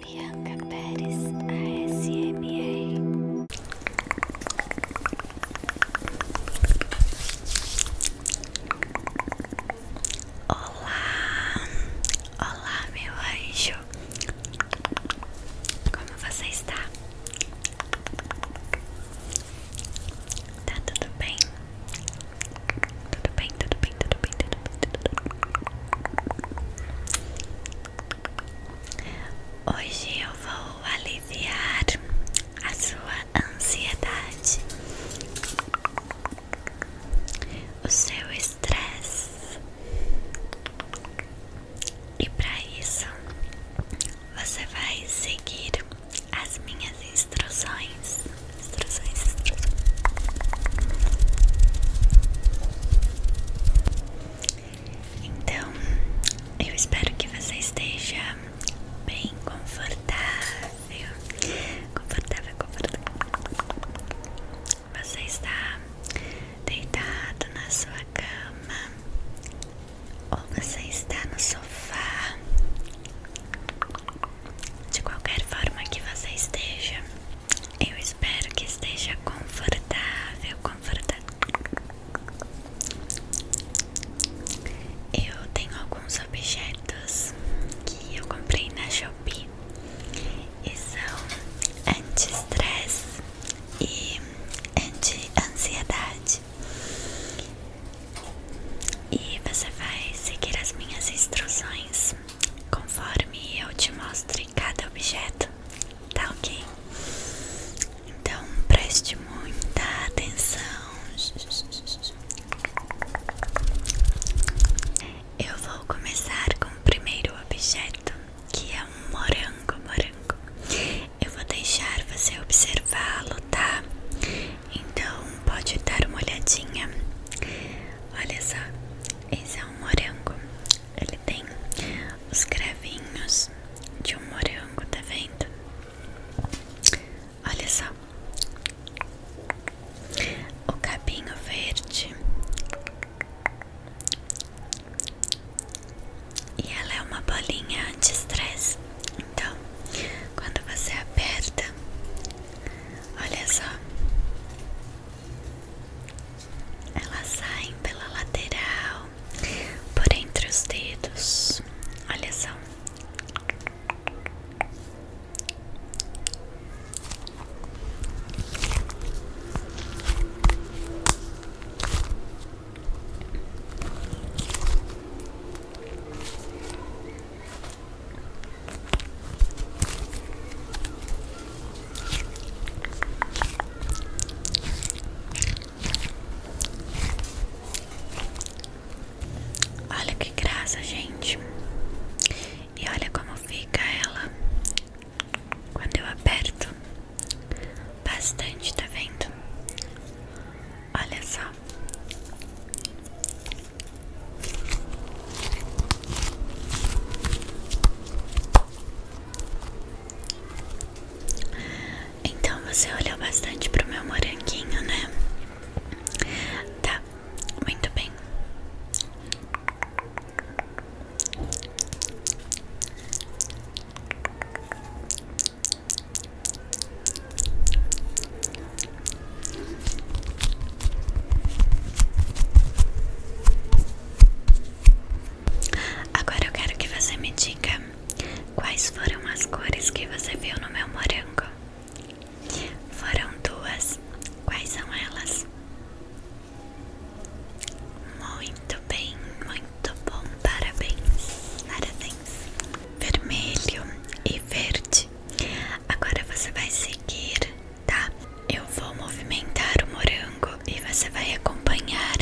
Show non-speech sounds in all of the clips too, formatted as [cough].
Bianca Pérez ASMR Olá, olá meu anjo, como você está? Está tudo bem? Tudo bem, tudo bem, tudo bem, tudo bem, Hoje eu vou aliviar a sua ansiedade, o seu estresse, e para isso você vai seguir as minhas instruções. Então, eu espero que você esteja bem confortável. Confortável, confortável. Você está deitado na sua cama ou você está no sofá. De qualquer forma que você esteja, eu espero que esteja confortável, confortável. Eu tenho alguns objetos que eu comprei na Shopee e são anti-stress e anti-ansiedade. E você vai seguir as minhas instruções conforme eu te mostre cada objeto, tá ok? Então preste muita atenção. Eu vou começar com o primeiro objeto, que é um morango, morango. Eu vou deixar você observá-lo, tá? Então pode dar uma olhadinha. Olha só, esse é um morango. Ele tem os cravinhos de um morango, tá vendo? Olha só. O cabinho verde. E ela é uma bolinha anti-estresse. Então, quando você aperta, olha só. Elas saem pela lateral, por entre os dedos. Olha só. Olha que graça, gente. E olha como fica ela quando eu aperto bastante, tá vendo? Olha só. Então você olhou bastante pro meu moranguinho, né? Tá, muito bem. Agora eu quero que você me diga quais foram as cores que você viu no meu morango. Foram duas. Quais são elas? Muito bem, muito bom. Parabéns. Parabéns. Vermelho e verde. Agora você vai seguir tá? Eu vou movimentar o morango e você vai acompanhar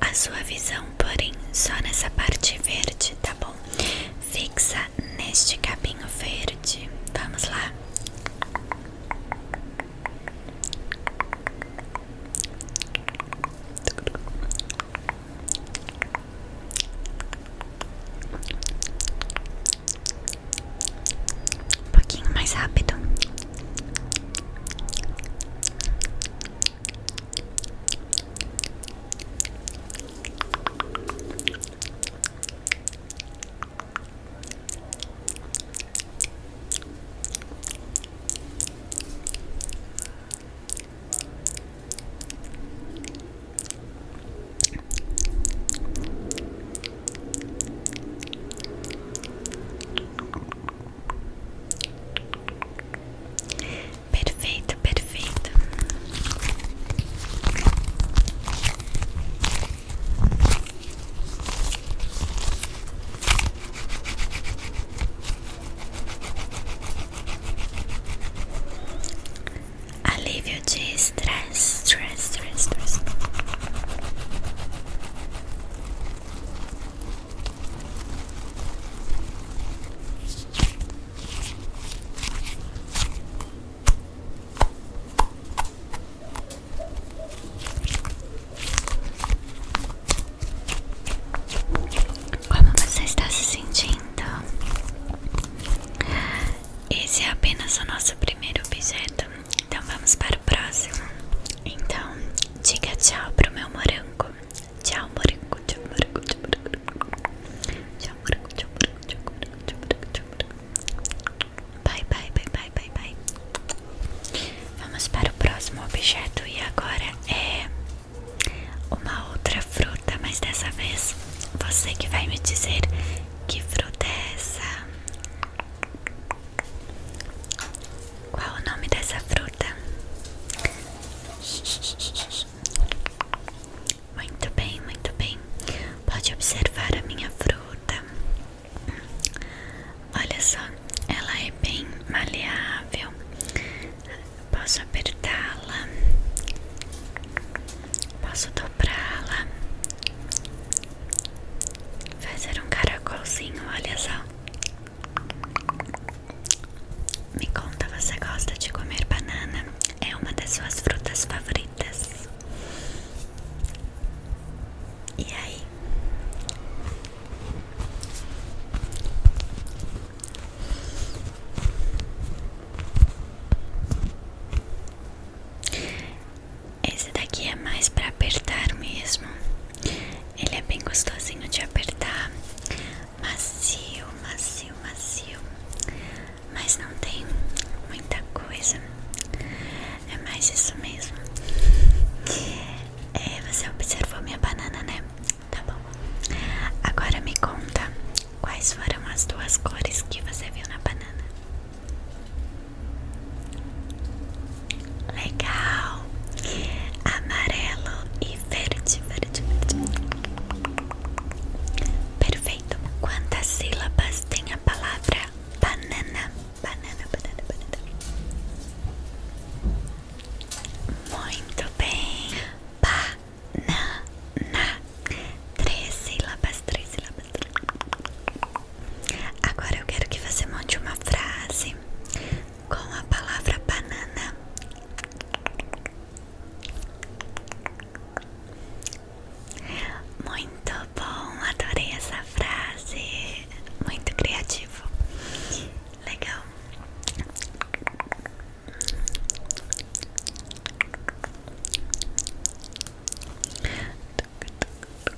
a sua visão, porém só nessa parte verde, tá bom? Fixa neste cabinho verde. Vamos lá. Um pouquinho mais rápido. Perfeito, perfeito. Alívio de estresse stress, Como você está se sentindo? Esse é apenas o nosso primeiro objeto. Então vamos para o próximo. Então, diga tchau pro meu morango. Tchau, morango, tchau, morango, tchau, morango. Tchau, morango, tchau, morango, tchau, morango, tchau, morango, tchau, morango. Bye, bye, bye, bye, bye, bye. Vamos para o próximo objeto e agora é uma outra fruta, mas dessa vez você que vai me dizer que fruta é essa. Qual o nome dessa fruta? Muito bem, muito bem. Pode observar a minha fruta. Olha só, ela é bem maleável. Posso apertá-la. Posso pra lá fazer um caracolzinho, olha só. Me conta, você gosta de comer banana? É uma das suas frutas favoritas? E aí? Esse daqui é mais para apertar mesmo. Ele é bem gostosinho de apertar. Macio, macio, macio. Mas não tem muita coisa. É mais isso mesmo. É, você observou minha banana, né? Tá bom. Agora me conta quais foram as duas cores que você viu na banana. Legal, amarelo e verde, verde, verde. Perfeito. Quantas sílabas tem a palavra banana? Banana, banana, banana. Muito bem. Banana. Três sílabas, três sílabas. Agora eu quero que você monte uma frase com a palavra banana. Muito bom, adorei essa frase. Muito criativo. Legal.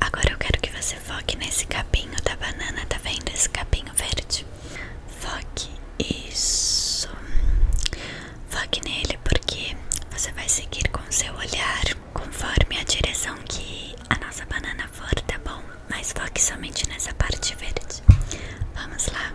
Agora eu quero que você foque nesse capinho da banana, tá vendo? Esse capinho verde. Foque isso. Foque nele porque você vai seguir com seu olhar conforme a direção que a nossa banana for, tá bom? Mas foque somente nessa parte verde. Vamos lá.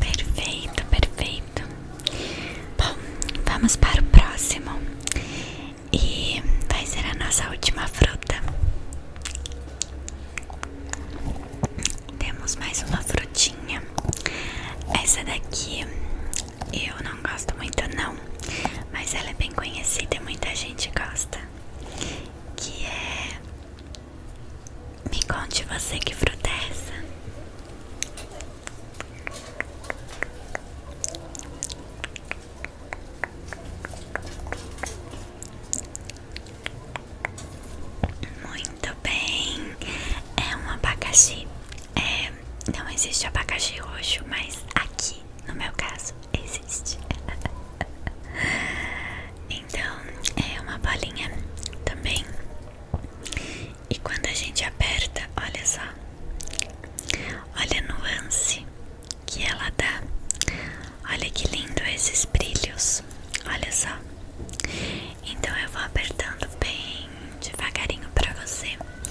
Perfeito, perfeito. Bom, vamos para o próximo. E vai ser a nossa última fruta. Temos mais uma frutinha. Essa daqui eu não gosto muito não, mas ela é bem conhecida e muita gente gosta. Que é me conte você que fruta é essa? Muito bem, é um abacaxi. É, não existe abacaxi roxo, mas aqui, no meu caso, existe. [laughs] Então é uma bolinha também. E quando a gente aperta, olha só, olha a nuance que ela dá. Olha que lindo esses brilhos, olha só. Então eu vou apertando bem devagarinho para você.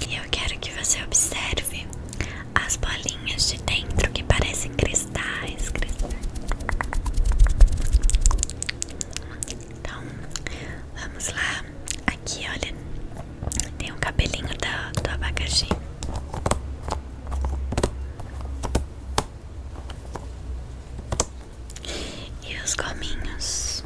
E eu quero que você observe as bolinhas de dentro que parecem cristais, cristais. Então, vamos lá. Aqui, olha, tem um cabelinho do, do abacaxi. E os gominhos.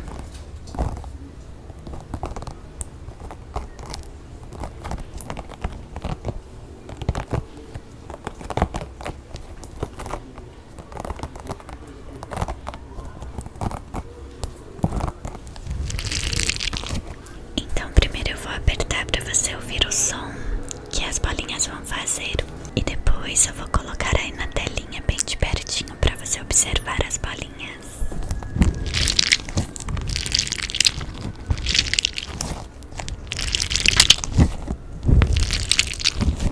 Então, primeiro eu vou apertar para você ouvir o som que as bolinhas vão fazer, e depois eu vou colocar aí na telinha, bem de pertinho, para você observar as bolinhas.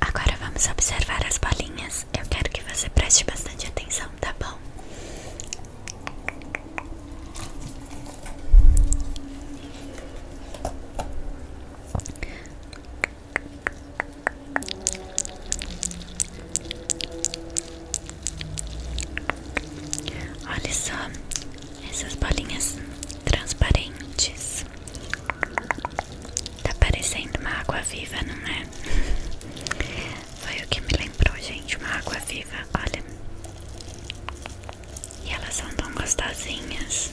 Agora vamos observar as bolinhas. Eu quero que você preste bastante atenção, tá bom? Olha só essas bolinhas transparentes. Tá parecendo uma água viva, não é? [laughs] Foi o que me lembrou, gente, uma água viva. Olha. E elas são tão gostosinhas.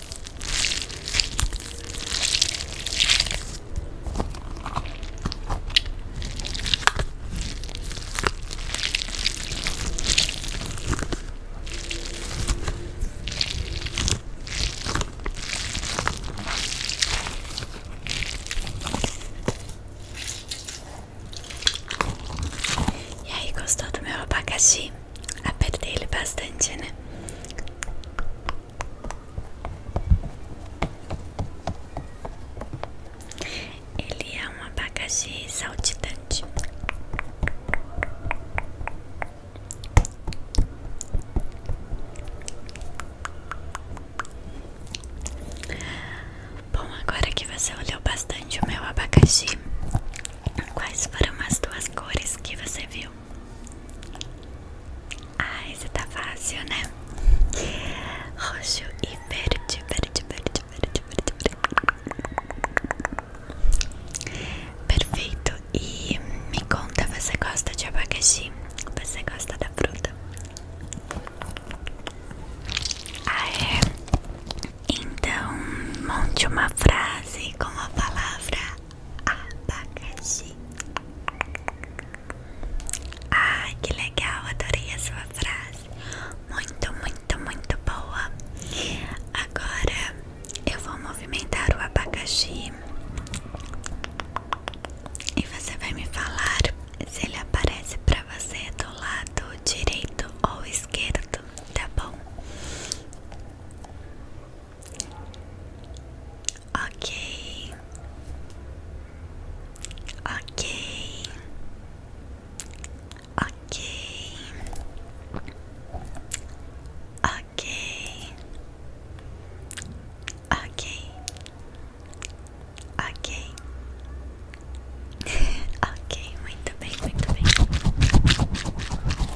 E aí, gostou do meu abacaxi? Apertei ele bastante, né? Ele é um abacaxi saltitante. Bom, agora que você olhou bastante o meu abacaxi, Quais foram as duas cores que você viu? Ah, isso tá fácil, né? Roxo e verde, verde, verde, verde, verde, verde. Perfeito. E me conta, você gosta de abacaxi? Você gosta da fruta? Ah, é? Então, monte uma frase com a palavra abacaxi. Ah, que legal, adorei a sua frase. Muito, muito, muito boa. Agora eu vou movimentar o abacaxi e você vai me falar se ele aparece para você do lado direito ou esquerdo, tá bom? Ok, ok, ok, ok, ok, ok, [laughs] ok, muito bem, muito bem.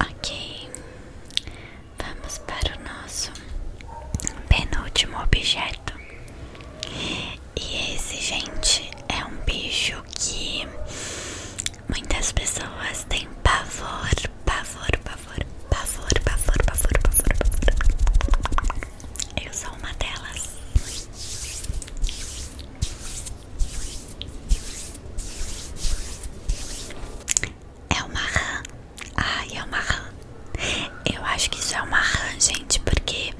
Ok, vamos para o nosso penúltimo objeto. E esse, gente, é um bicho que muitas pessoas têm pavor, pavor, pavor, pavor, pavor, pavor, pavor, pavor. Eu sou uma delas. É uma rã. Ai, é uma rã. Eu acho que isso é uma rã, gente, porque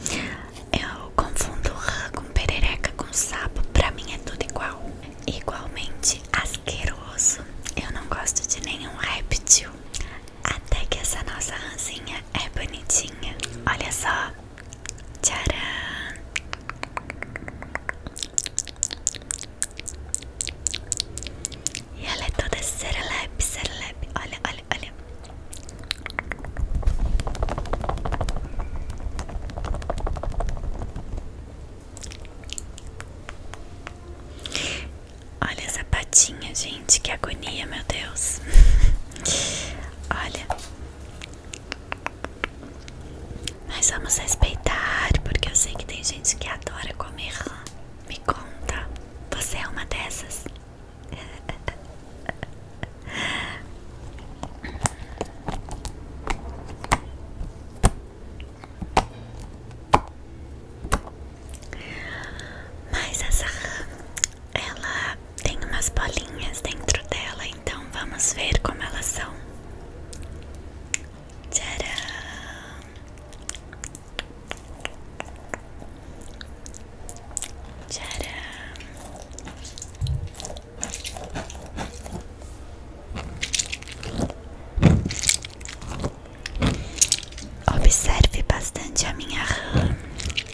eu confundo rã com perereca, com sapo. Pra mim é tudo igual. Igualmente asqueroso. Eu não gosto de nenhum réptil. Até que essa nossa ranzinha é bonitinha. Olha só. Tcharam. E ela é toda serelepe, serelepe. Olha, olha, olha. Olha essa patinha, gente, que agonia, meu Deus. [laughs] Olha. Mas vamos respeitar, porque eu sei que tem gente que adora comer rã. Me conta, você é uma dessas? [laughs] Mas essa rã ela tem umas bolinhas dentro dela, então vamos ver como elas são. Tcharam! Tcharam! Observe bastante a minha RAM.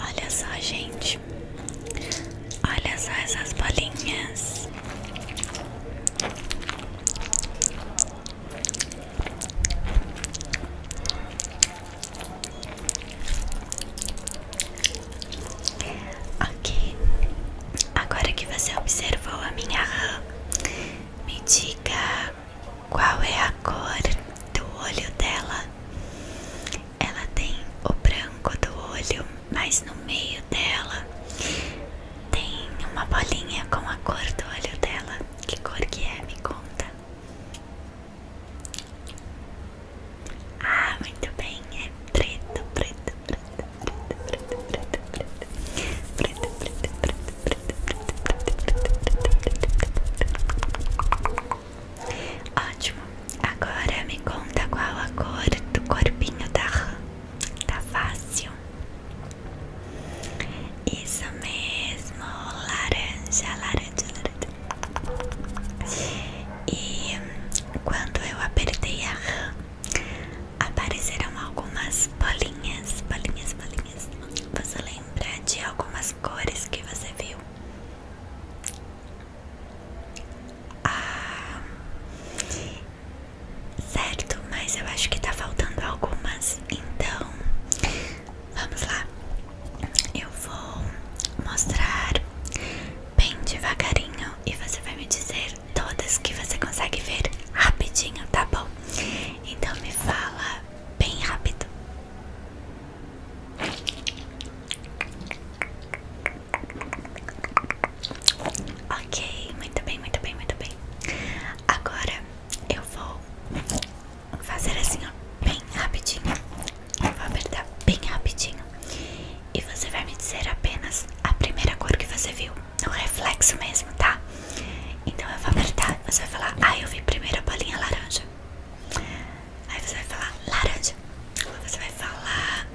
Olha só, gente. Olha só essas bolinhas. Ok, agora que você observou a minha RAM, me diga qual é a cor do olho dela. Ela tem o branco do olho, mas no meio dela tem uma bolinha com a cor do olho dela. Que cor que é? Me conta. Ah, muito bem, é preto, preto, preto. Ótimo, agora me conta qual a cor do corpinho da rã. Tá fácil. Isso mesmo, laranja, laranja, laranja. E quando eu apertei a rã, apareceram algumas bolinhas, bolinhas, bolinhas. Você lembra de algumas cores que você viu? Ah, certo, mas eu acho que tá faltando algumas, então vamos lá. Eu vou mostrar bem devagarinho e você vai me dizer todas que você consegue ver rapidinho, tá bom? Então me fala bem rápido. Ok, muito bem, muito bem, muito bem. Agora eu vou fazer assim, ó, bem rapidinho. Eu vou apertar bem rapidinho. E você vai me dizer apenas a primeira cor que você viu um reflexo mesmo, tá? Então eu vou apertar, você vai falar, ah, eu vi primeiro a bolinha laranja. Aí você vai falar laranja, ou você vai falar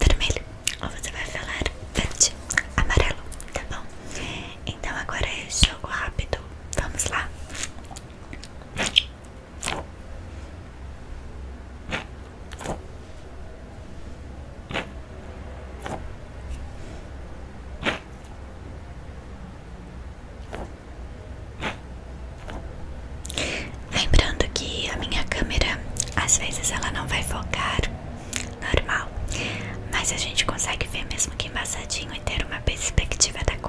vermelho, ou você vai falar verde, amarelo, tá bom? Então agora é jogo rápido, vamos lá. Lembrando que a minha câmera às vezes ela não vai focar normal, mas a gente consegue ver mesmo que embaçadinho e ter uma perspectiva da cor.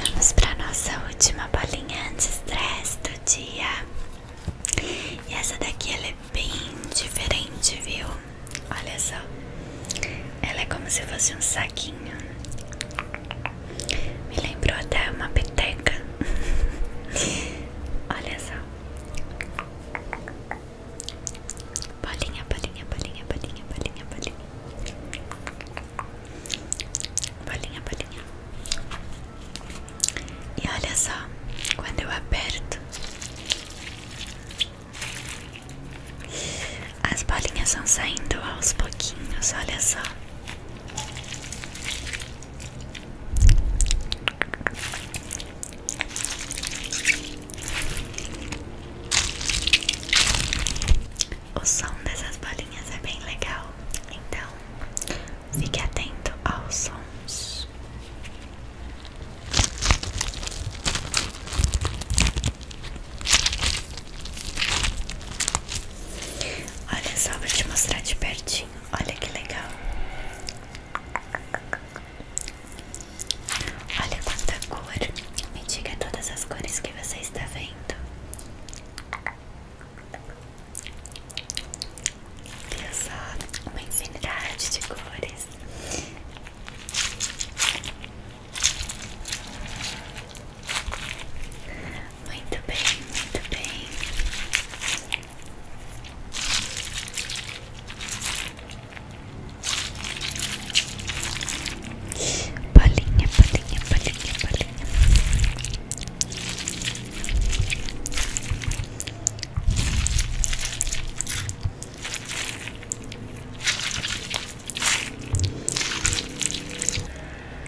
Vamos para nossa última bolinha anti-stress do dia. E essa daqui é bem diferente, viu? Olha só. Ela é como se fosse um saquinho. Me lembrou até uma peteca. [laughs] Olha só. Bolinha, bolinha, bolinha, bolinha, bolinha, bolinha bolinha, bolinha. E olha só, quando eu aperto, as bolinhas vão saindo aos pouquinhos. Olha só. O som dessas bolinhas é bem legal. Então, fique atento aos sons. Olha só, vou te mostrar de pertinho. Olha que legal. Olha quanta cor. Me diga todas as cores que você está vendo. Olha só, uma infinidade de cores. Muito bem, muito bem. Bolinha, bolinha, bolinha, bolinha.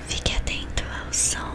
Fique atento ao som.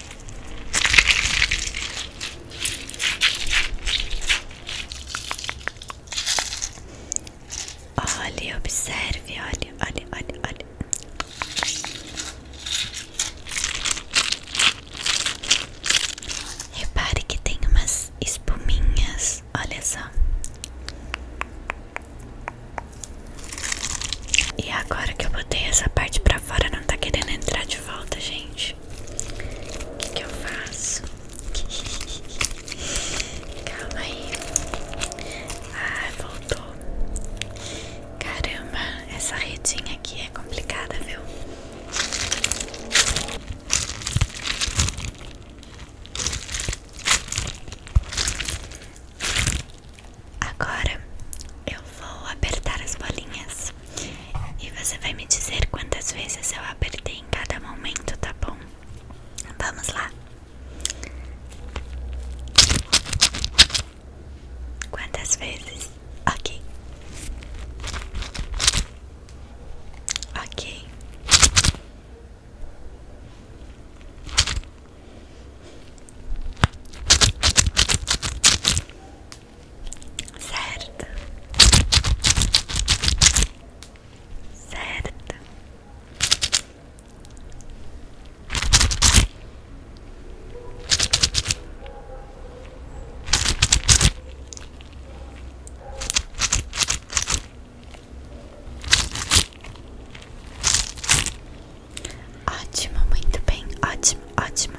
Olhe, observe, olhe, olhe, olhe, olhe. Repare que tem umas espuminhas, olha só. E agora que eu botei essa parte pra fora, não tá querendo entrar de volta, gente. O que, que eu faço? [laughs] Calma aí. Ah, voltou. Caramba, essa redinha aqui é complicada, viu? Agora eu vou apertar as bolinhas e você vai me dizer quantas vezes eu apertei em cada momento, tá bom? Vamos lá. Quantas vezes? Ok. Ok. Certo, certo, Ótimo, muito bem, ótimo, ótimo.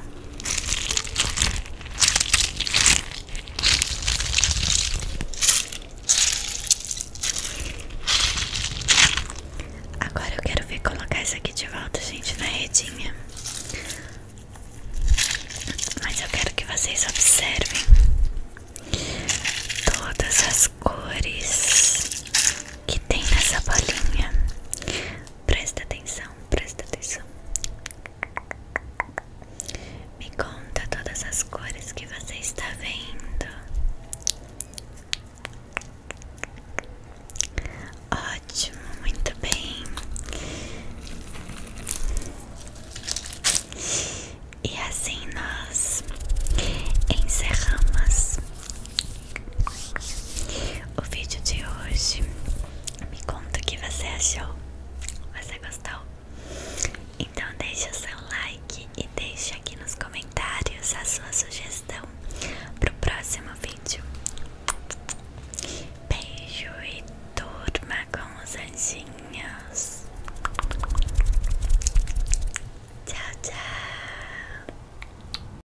Agora eu quero ver colocar isso aqui de volta, gente, na redinha. Mas eu quero que vocês observem todas as cores que tem nessa bolinha. Presta atenção, presta atenção. Me conta todas as cores que você está vendo. Ótimo, muito bem. E assim nós encerramos o vídeo de hoje. Me conta o que você achou. Você gostou? Então deixa o seu like e deixa aqui nos comentários a sua sugestão para o próximo vídeo. Beijo e turma com os anjinhos. Tchau, tchau.